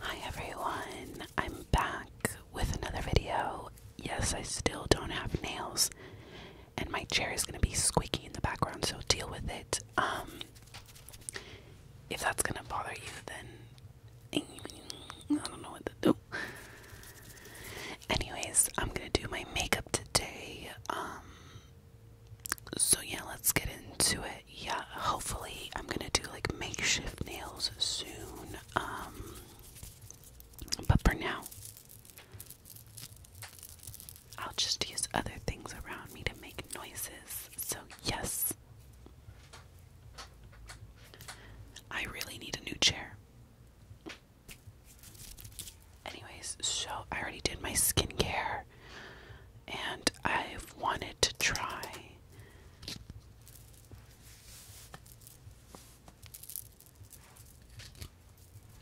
Hi everyone, I'm back with another video. Yes, I still don't have nails, and my chair is gonna be squeaky in the background, so deal with it. Um, if that's gonna bother you, then I don't know what to do. Anyways, I'm gonna do my makeup today. Um, so yeah, let's get into it yeah, hopefully I'm gonna do like makeshift nails soon. Um, but for now, I'll just use other things around me to make noises. So, yes, I really need a new chair. Anyways, so I already did my skincare, and I've wanted to try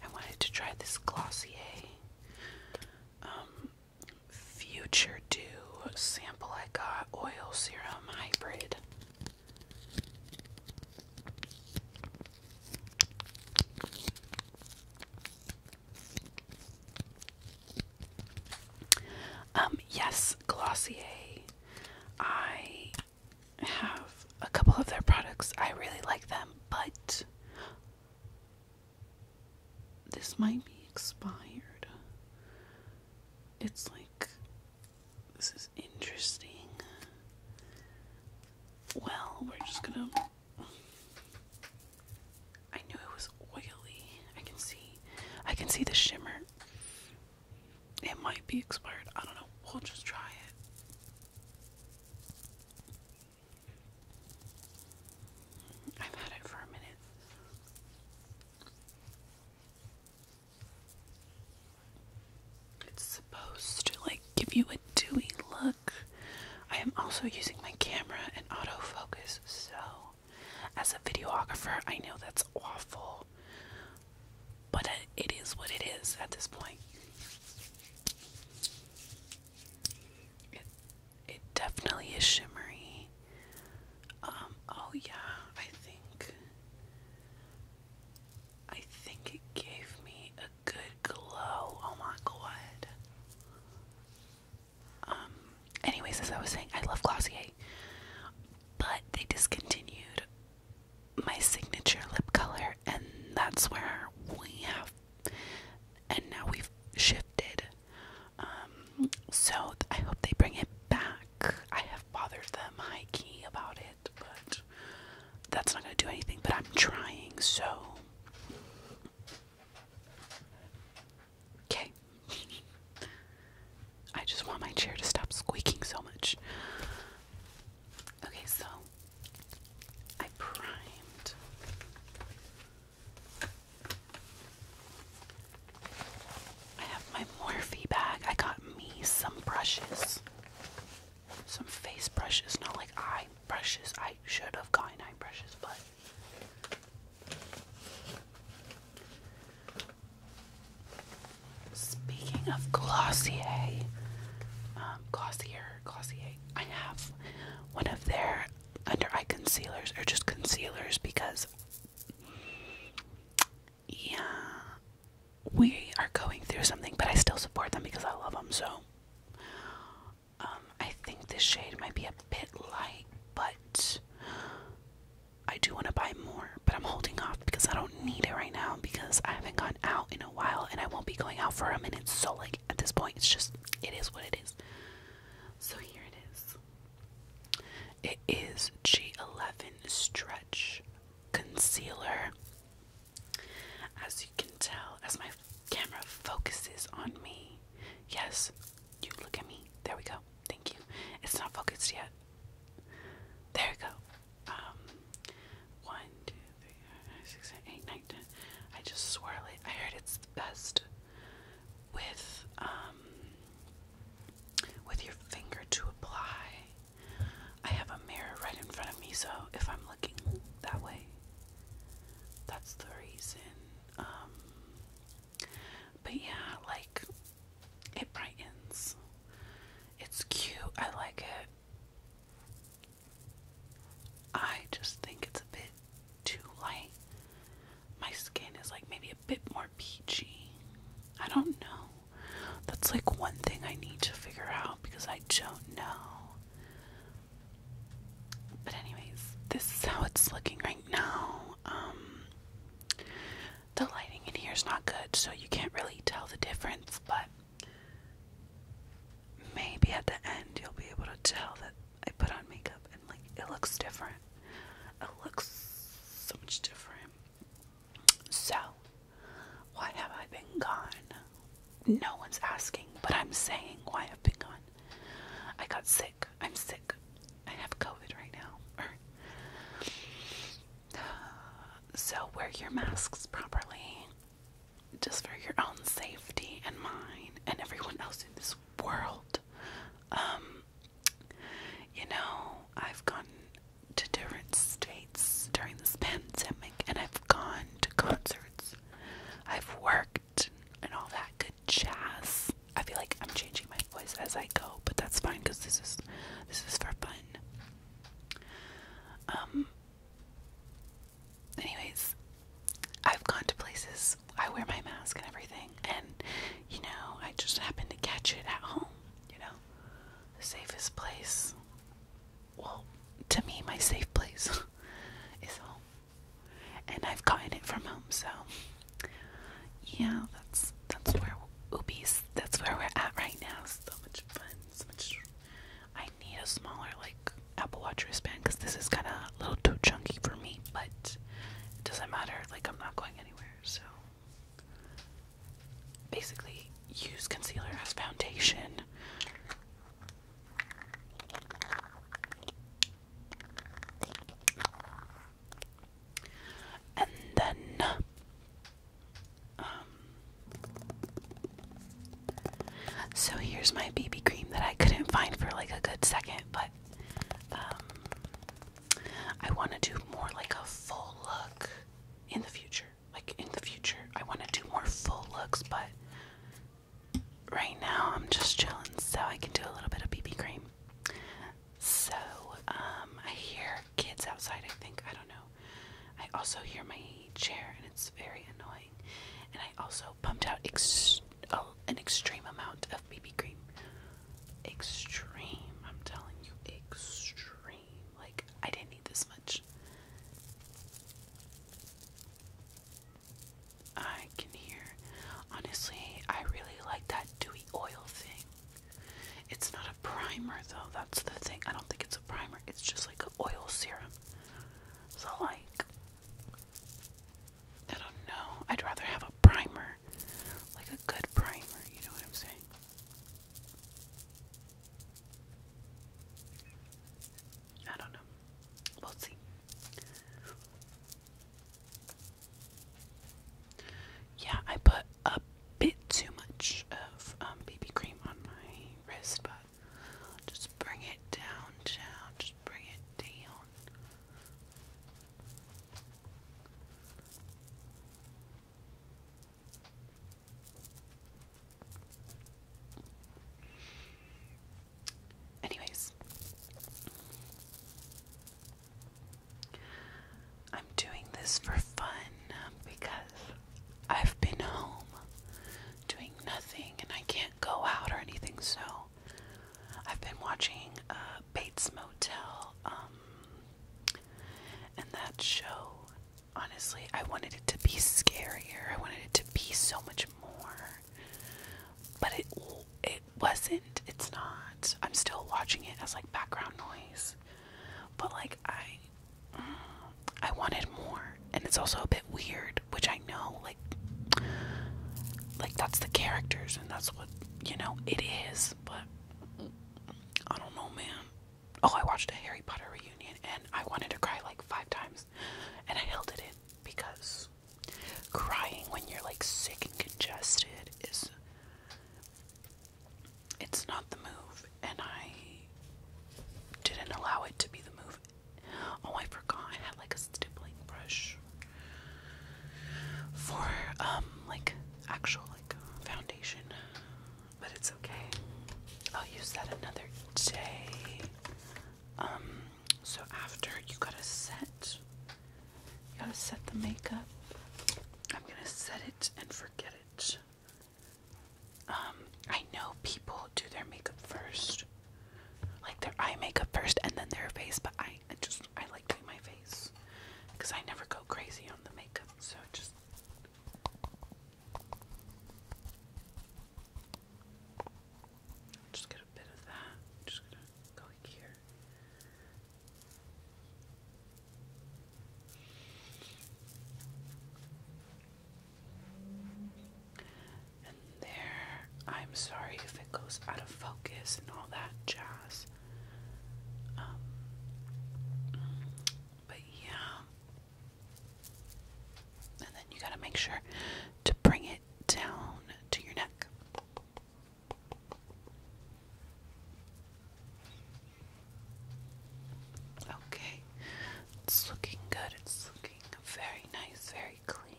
I wanted to try this Glossier um, Future Dew sample I got, oil serum hybrid. Um, yes, Glossier. I have a couple of their products. I really like them, but this might be expired. It's like this is interesting. Well, we're just gonna I knew it was oily. I can see I can see the shimmer. It might be expired. I don't know. We'll just try it. I've had it for a minute. It's supposed to like give you a dewy look. I am also using my camera and autofocus, so as a videographer, I know that's awful. But it is what it is at this point. It it definitely is shimmery. Um oh yeah, I think I think it gave me a good glow. Oh my god. Um, anyways, as I was saying, I love Glossier, but they discontinued my signature lip color, and that's where we have, and now we've shifted. Um, so I hope they bring it back. I have bothered them high key about it, but that's not gonna do anything. But I'm trying so. Okay. I just want my chair to stop squeaking so much. Okay, so I primed. I have my Morphe bag. I got me some brushes. Some face brushes, not like eye brushes. I should have gotten eye brushes, but Speaking of Glossier, um, Glossier, Glossier, I have one of their under eye concealers, or just concealers, because, yeah, we are going through something, but I still support them because I love them, so. Um, I think this shade might be a bit light, but I do want to buy more, but I'm holding off because I don't need it right now because I haven't gone out in a while and I won't be going out for a minute. So, like, at this point, it's just, it is what it is. So, here it is it is G11 Stretch Concealer. As you can tell, as my camera focuses on me, yes, you look at me. There we go thank you. It's not focused yet. There we go. Um, one, two, three, four, five, six, seven, eight, nine, ten. I just swirl it. I heard it's best with um with your finger to apply. I have a mirror right in front of me, so if I'm looking that way, that's the reason. Um, but yeah, like it brightens. It's cute. I like it. I just think it's a bit too light. My skin is like maybe a bit more peachy. I don't know. That's like one thing I need to figure out because I don't know. But anyways, this is how it's looking right now. Um the lighting in here is not good, so you can't really tell the difference, but maybe at the end you'll be able to tell that I put on makeup and like it looks different. It looks so much different. So, why have I been gone? No one's asking, but I'm saying why I've been gone. I got sick. I'm sick. I have COVID right now. so wear your masks properly, just for your own safety and mine and everyone else in this world. Um, you know, I've gone to different states during this pandemic, and I've gone to concerts. I've worked and all that good jazz. I feel like I'm changing my voice as I go, but that's fine because this is this is for fun. Um. Anyways, I've gone to places. I wear my mask and everything, and you know, I just happen to catch it at home. You know, the safest place. Well, to me, my safe place is home, and I've gotten it from home. So yeah, that's that's where oobies. That's where we're at right now. So much fun. So much. I need a smaller like Apple Watch wristband because this is kind of a little too chunky for me. But it doesn't matter. Like I'm not going anywhere. So basically, use concealer as foundation. And then um so here's my BB cream that I couldn't find for like a good second, but um I want to do more like a full look in the future. Like in the future, I want to do more full looks, but right now I'm just chilling, so I can do a little bit of BB cream. So, um, I hear kids outside, I think. I don't know. I also hear my chair, and it's very annoying. And I also pumped out ex oh, an extreme amount of BB cream. Extreme, I'm telling you, extreme. Like, I didn't need this much. I can hear. Honestly, I really like that dewy oil thing. It's not a primer though, that's the thing. I don't think it's a primer, it's just like an oil serum. So, like, I don't know. I'd rather have a primer, like a good primer, you know what I'm saying? I don't know. We'll see. Yeah, I put a bit too much of um, baby cream on my wrist, but just bring it down, down, just bring it down. Anyways, I'm doing this for fun um, because I've been home doing nothing and I can't go out or anything, so I've been watching uh, Bates Motel um, and that show. Honestly, I wanted it to be scarier. I wanted it to be so much more, but it it wasn't. It's not. I'm still watching it as like background noise. But like I I wanted more and it's also a bit weird, which I know like like that's the characters and that's what you know it is, but I don't know, man. Oh, I watched a Harry Potter reunion and I wanted to cry like 5 times and I held it in because crying when you're like sick and congested is it's not the move, and I didn't allow it to be the move. Oh, I forgot I had like a stippling brush for um like actual like foundation, but it's okay. I'll use that another day. Um, so after you gotta set, you gotta set the makeup. I'm gonna set it and forget it. Um, I know people do their makeup first, like their eye makeup first, and then their face. But I, I just I like doing my face because I never go crazy on the makeup, so just. Just get a bit of that. just gonna go here. And there, I'm sorry if it goes out of focus and all that jazz. Um, but yeah. And then you gotta make sure to bring it down to your neck. Okay, it's looking good, it's looking very nice, very clean.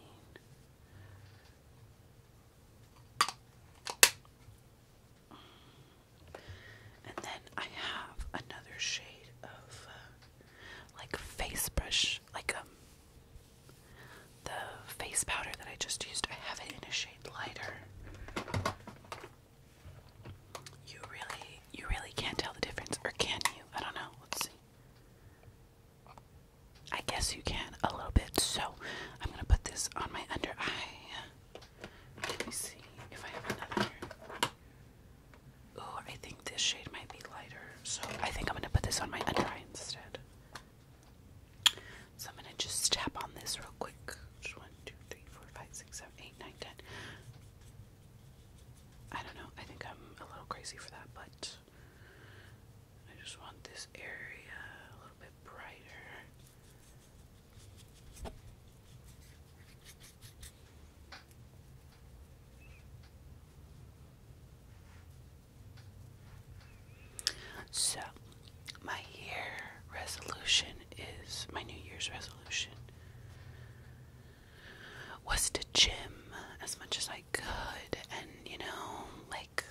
And then I have another shade of uh, like face brush, like um, the face powder that I just used. I have it in a shade lighter. You really, you really can't tell the difference, or can you? I don't know. Let's see. I guess you can a little bit. So I'm gonna put this on my under eye. Let me see if I have another. Oh, I think this shade might be lighter, so I think I'm gonna put this on my under eye instead. So I'm gonna just tap on this real quick. 2, I don't know. I think I'm a little crazy for that, but I just want this area a little bit brighter. So, my year resolution is my New Year's resolution was to gym as much as I could and, you know, like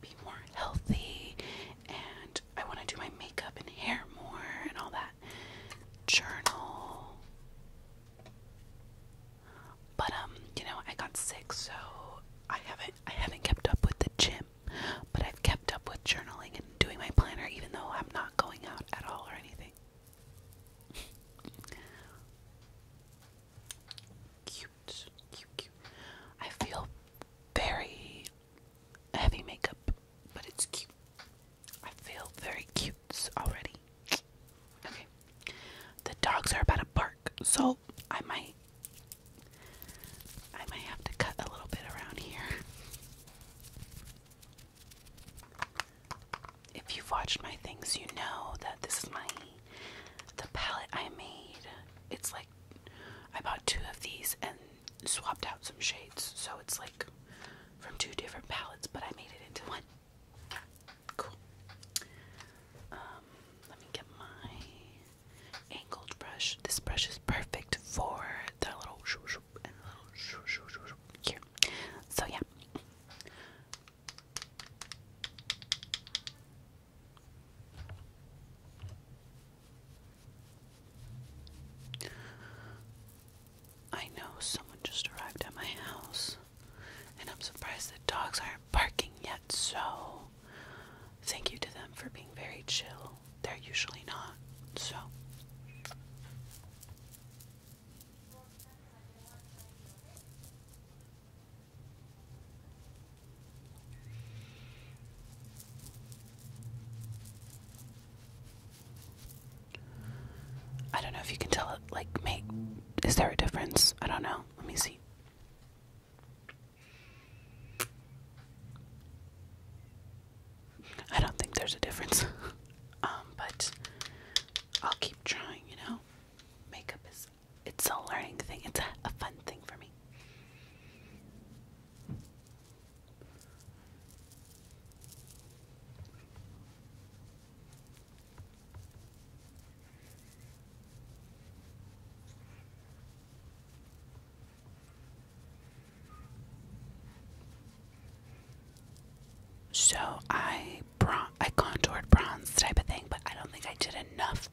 be more healthy and I want to do my makeup and hair more and all that. Journal. But um, you know, I got sick so I haven't I haven't kept up with the gym but I've kept up with journaling and doing my planner even though I'm not going out at all or anything. cute, cute, cute. I feel very heavy makeup, but it's cute. I feel very cute already. Okay. The dogs are about to bark, so I might I might have to cut a little bit around here. If you've watched my things, you know that this is my the palette I made. It's like I bought two of these and swapped out some shades, so it's like from two different palettes, but I made it into one. Cool. Um, let me get my angled brush. This brush is perfect for the little shoo Here. So yeah. I know someone just arrived at my house, and I'm surprised the dogs aren't barking yet, so thank you to them for being very chill they're usually not. So I don't know if you can tell it like make is there a difference? I don't know. Let me see. I don't think there's a difference. Um, but I'll keep trying, you know? Makeup is it's a learning thing. It's a fun thing for me. So I bron I contoured bronze type of thing, but I don't think I did enough.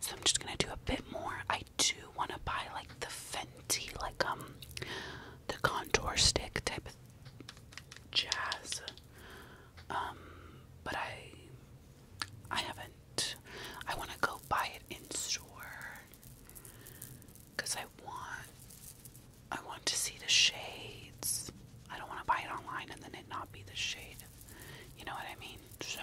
So I'm just gonna do a bit more. I do want to buy like the Fenty, like um, the contour stick type of jazz. Um, but I, I haven't. I want to go buy it in store. Cause I want I want to see the shades. I don't want to buy it online and then it not be the shade. You know what I mean? So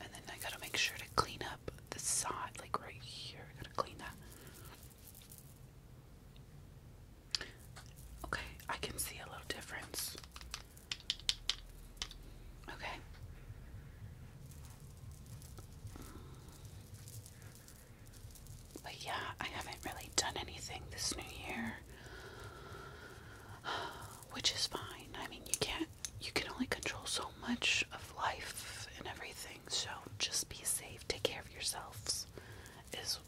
and then I gotta make sure to clean up the side, like right here. I gotta clean that. Okay, I can see a little difference. Okay. But yeah, I haven't really done anything this new year. Which is fine. I mean, you can't, you can only control so much of life and everything. So just be safe. Take care of yourselves, is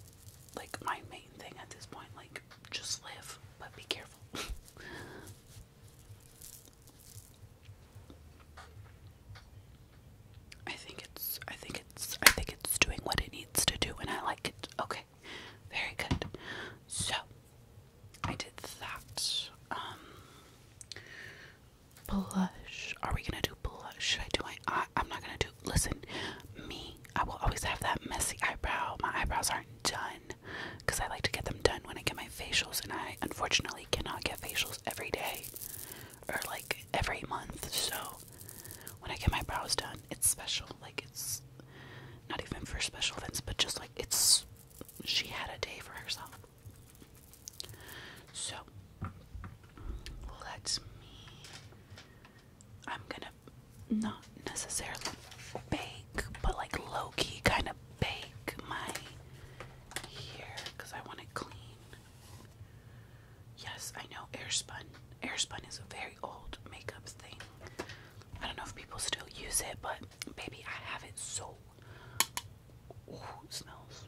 like my main thing at this point. Like, just live, but be careful. I think it's I think it's I think it's doing what it needs to do and I like it. Okay. Very good. So I did that. Um, blush. Are we gonna do blush? Should I do my I'm not gonna do listen, me, I will always have that messy eyebrow. My eyebrows aren't done because I like to get them done when I get my facials, and I unfortunately cannot get facials every day or like every month. So when I get my brows done, it's special. Like it's not even for special events, but just like it's she had a day for herself. So let me I'm gonna not necessarily bake, but like low key kind of bake my hair because I want it clean. Yes, I know airspun. Airspun is a very old makeup thing. I don't know if people still use it, but baby, I have it so. smells.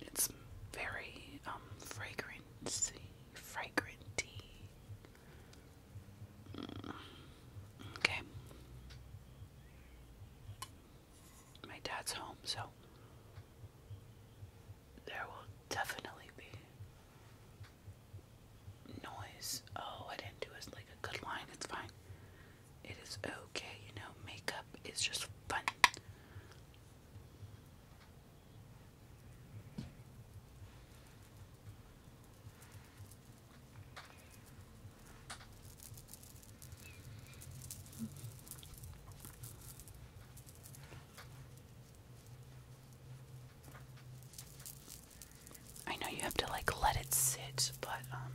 It's very um fragrancy, fragranty. Mm, okay. My dad's home, so there will definitely be noise. Oh, I didn't do it like a good line. It's fine. It is okay, you know, makeup is just fun. I know you have to like let it sit, but um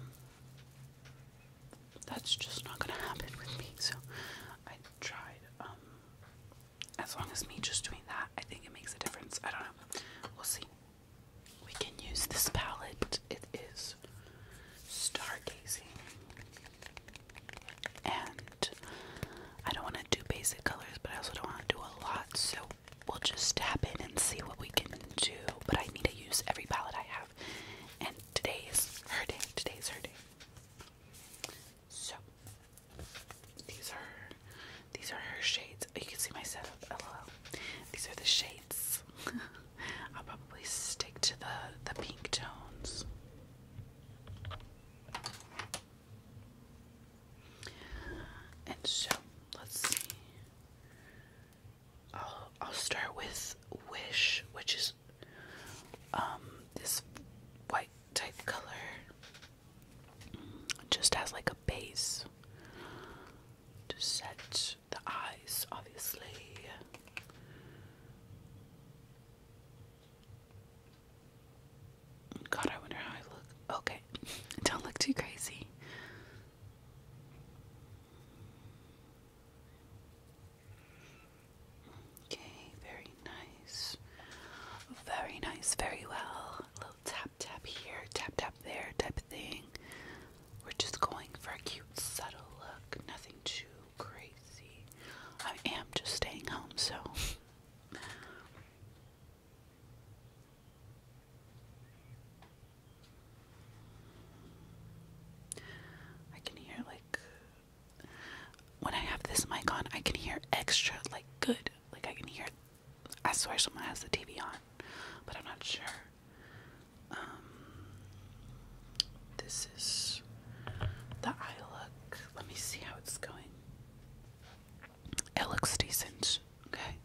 that's just not gonna happen with me. So I tried. Um, as long as me just doing that, I think it makes a difference. I don't know. We'll see. We can use this palette. It is stargazing. And I don't want to do basic colors, but I also don't want to do a lot. So we'll just tap in and see what we can do. But I need to use every palette I have and today's her day. Today's her day. So these are these are her shades. You can see my setup. LOL. These are the shades. I'll probably stick to the the pink tones. And so let's see. I'll I'll start with Wish, which is um, this white type color. Just as like a base to set the eyes, obviously. God, I wonder how I look. Okay, don't look too crazy. Okay, very nice. Very nice, very well. A little tap tap here, tap tap there type of thing. We're just going for a cute, subtle look, nothing too crazy. I am just staying home, so. I can hear like when I have this mic on, I can hear extra, like good. Like I can hear. I swear someone has the TV on, but I'm not sure. Um, this is the eye look. Let me see how it's going. It looks decent. Okay.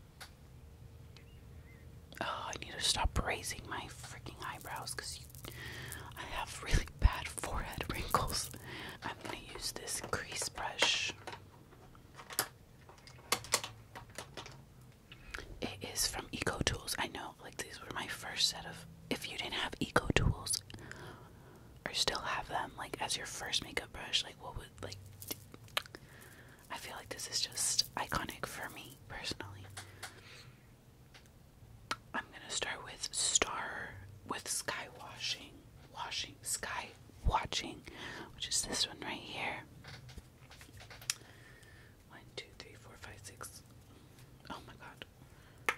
Oh, I need to stop raising my freaking eyebrows because I have really bad forehead wrinkles. I'm going to use this crease brush. It is from Eco Tools. I know, like, these were my first set of. If you didn't have Eco Tools or still have them, like, as your first makeup brush, like, what would, like, I feel like this is just iconic for me personally. I'm gonna start with star with sky watching, watching sky watching, which is this one right here. One, two, three, four, five, six. Oh my god.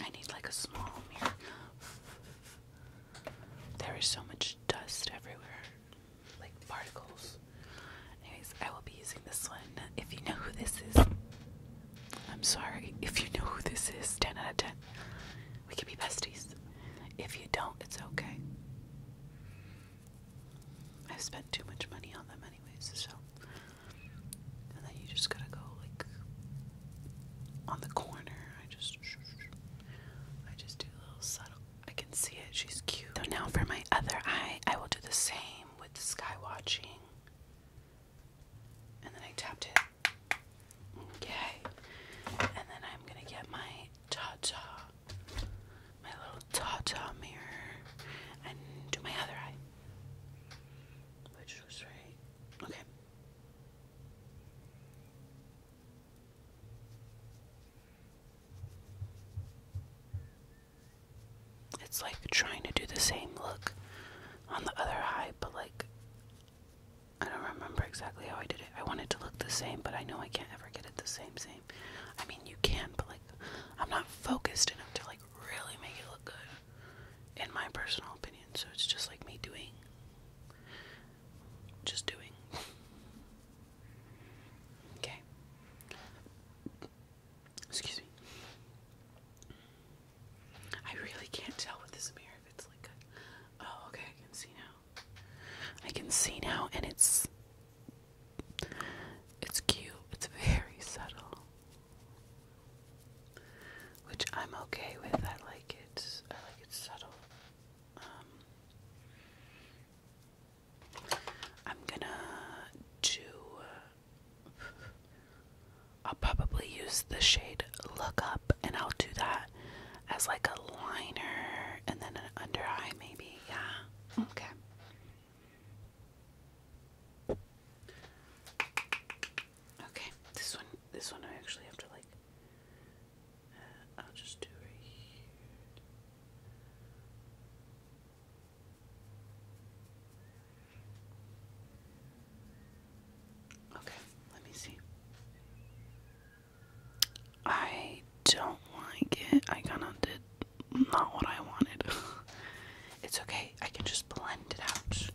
I need like a small mirror. There is so much dust everywhere, like particles. Anyways, I will be using this one. If you know who this is, I'm sorry. If you know who this is, 10 out of 10. We could be besties. If you don't, it's okay. I've spent too much money on them, anyways, so. And then you just gotta go, like, on the corner. I just. I just do a little subtle. I can see it. She's cute. So now for my other eye, I will do the same with the sky watching. And then I tapped it. Okay. And then I'm gonna get my ta-ta. My little ta mirror. And do my other eye. Which was right. Okay. It's like trying to do the same look on the other eye, but like I don't remember exactly how I did it. I want it to look the same, but I know I can't ever get it the same same. I mean, you can, but like I'm not focused enough to like really make it look good in my personal opinion. So it's just like me doing just doing. okay. Excuse me. I really can't tell with this mirror if it's like Oh, okay, I can see now. I can see now, and it's. It's cute. It's very subtle. Which I'm okay with. I like it. I like it subtle. Um, I'm gonna do uh, I'll probably use the shade Look Up and I'll do that as like a liner and then an under eye, maybe. Yeah. Okay. Okay. This one, this one I actually have to like. Uh, I'll just do right here. Okay, let me see. I don't like it. I kind of did not what I wanted. it's okay. I can just blend it out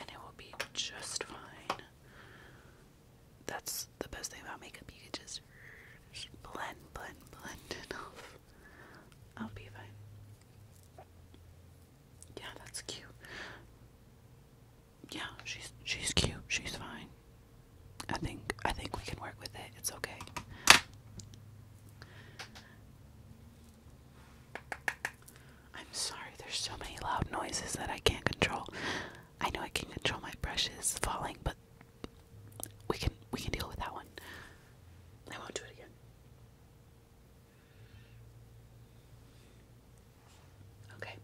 and it will be just fine. That's the best thing about makeup. You can just blend, blend, blend it off. I'll be fine. Yeah, that's cute. Yeah, she's she's cute. She's fine. I think I think we can work with it. It's okay. I'm sorry. There's so many loud noises that I can't control. I know I can control my brushes falling, but we can we can deal with that one. I won't do it again. Okay.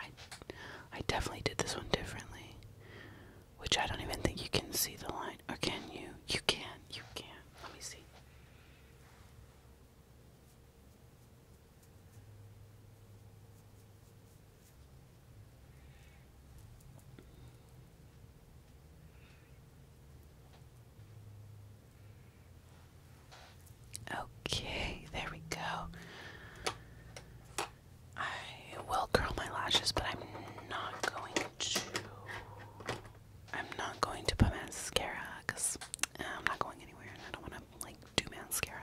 I I definitely did this one differently. Which I don't even think you can see the line. Or can you? You can. You can. Let me see. Okay, there we go. I will curl my lashes, but I'm not going to. I'm not going to put mascara because I'm not going anywhere, and I don't want to like do mascara.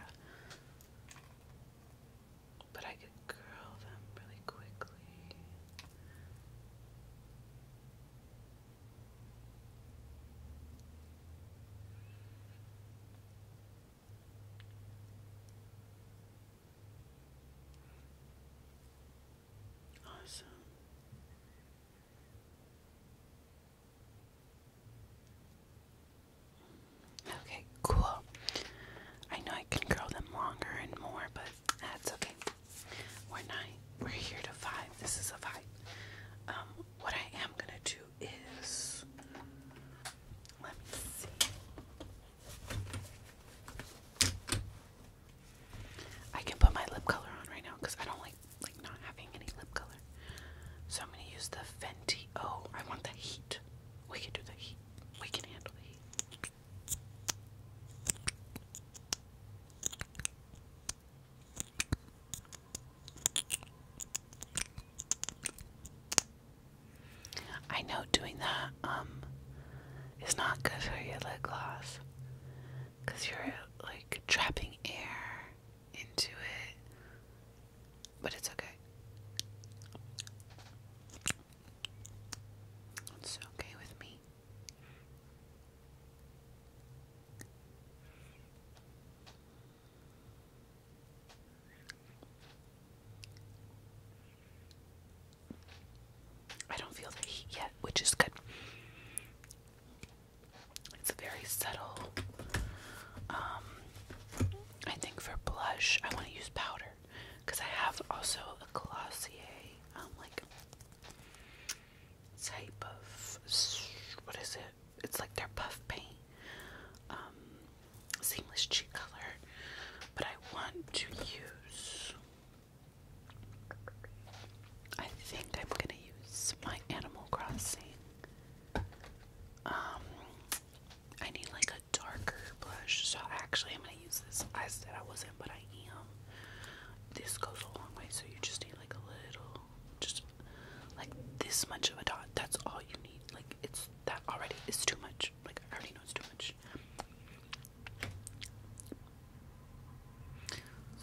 But I could curl them really quickly. Awesome. Okay, cool. I know I can curl them longer and more, but that's okay. We're not we're here to vibe. This is a vibe. Um, what I am gonna do is let me see. I can put my lip color on right now because I don't like like not having any lip color. So I'm gonna use the Fenty. Oh, I want the heat. We can do the heat. We can handle the heat. I know doing that um is not good for your lip gloss because you're like trapping air into it, but it's okay. It's okay with me. I don't feel the heat yet, which is good. It's a very subtle. Um, I think for blush, I want to use powder because I have also a Glossier, um, like type of what is it? It's like their puff paint, um, seamless cheek color, but I want to use. I think I'm gonna use my Animal Crossing um, I need like a darker blush, so actually I'm gonna use this. I said I wasn't, but I am. This goes a long way, so you just need like a little, just like this much of a dot. That's all you need. Like it's that already is too much. Like I already know it's too much.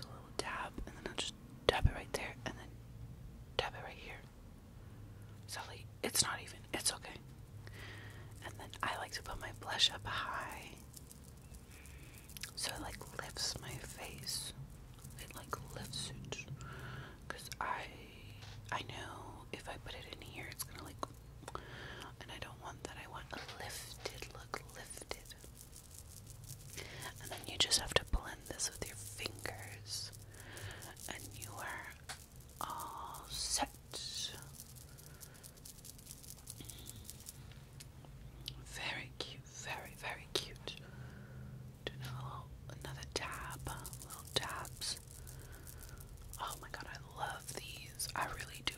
So a little dab, and then just dab it right there, and then dab it right here. Sully, it's not even. It's okay. And then I like to put my blush up high. So it like lifts my face. It like lifts it. Cause I I know if I put it in here it's gonna like and I don't want that. I want a lifted look, lifted. And then you just have to blend this with your fingers and you are all set. Very cute, very, very cute. Do another, another tab, little tabs. Oh my god, I love these. I really do.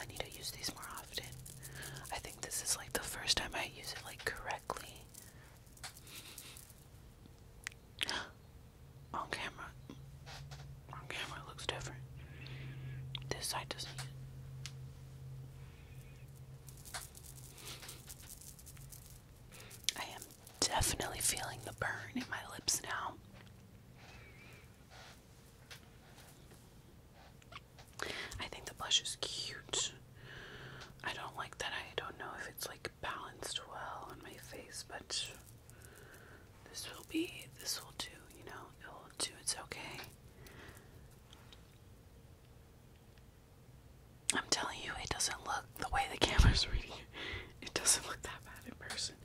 I need to use these more often. I think this is like the first time I use it like correctly. On camera, on camera looks different. This side doesn't. I am definitely feeling the burn in my lips now. I think the blush is cute. I don't like that. I don't know if it's like balanced well on my face, but this will be, this will do, you know, it'll do, it's okay. I'm telling you, it doesn't look the way the camera's reading it. doesn't look that bad in person.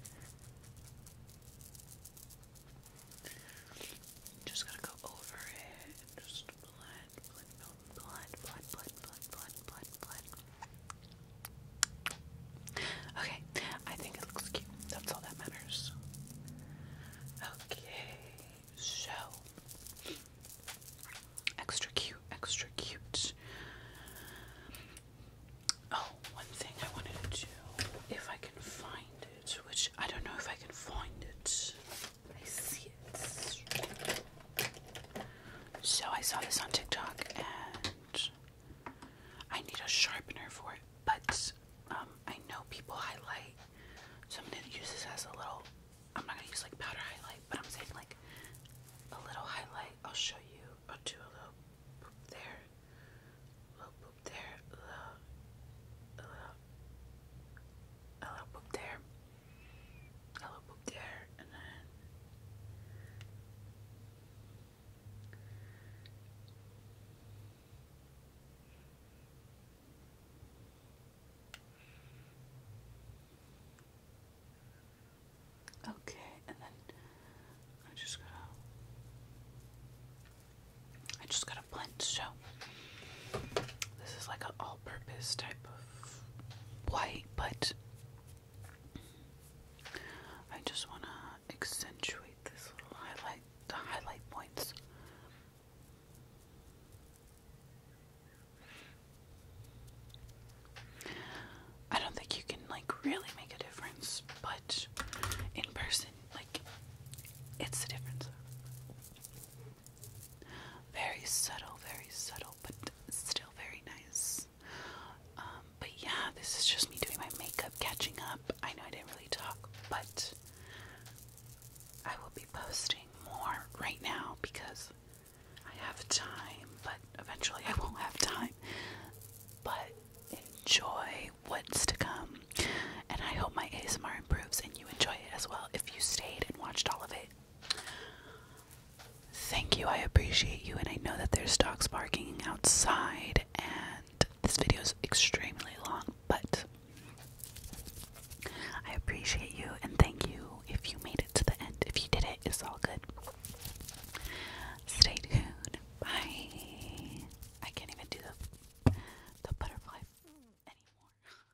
Just gotta go over it. Okay, I think it looks cute. That's all that matters. Okay, so extra cute, extra cute. Oh, one thing I wanted to do, if I can find it, which I don't know if I can find it. I see it. So I saw this on TikTok and I need a sharpener for it, but um, I know people highlight, so I'm gonna use this as a little. I'm not gonna use like powder highlight, but I'm saying like a little highlight. I'll show you. I'll do a little there, a little there, a little, a little, there a little Okay, and then I just gotta I just gotta blend so this is like an purpose type of white, but I just want to accentuate this little highlight, the highlight points. I don't think you can like really make a difference, but in person, like, it's the difference. Very subtle, very subtle, but still very nice. Um, but yeah, this is just me doing my makeup, catching up. I know I didn't really talk, but I will be posting more right now because I have time, but eventually I won't have time. But enjoy what's to come. And I hope my ASMR improves and you enjoy it as well if you stayed and watched all of it. Thank you, I appreciate you, and I know that there's dogs barking outside, and this video is extremely long, but I appreciate you and thank you if you made it to the end. If you did it, it's all good. Stay tuned. Bye. I can't even do the, the butterfly anymore.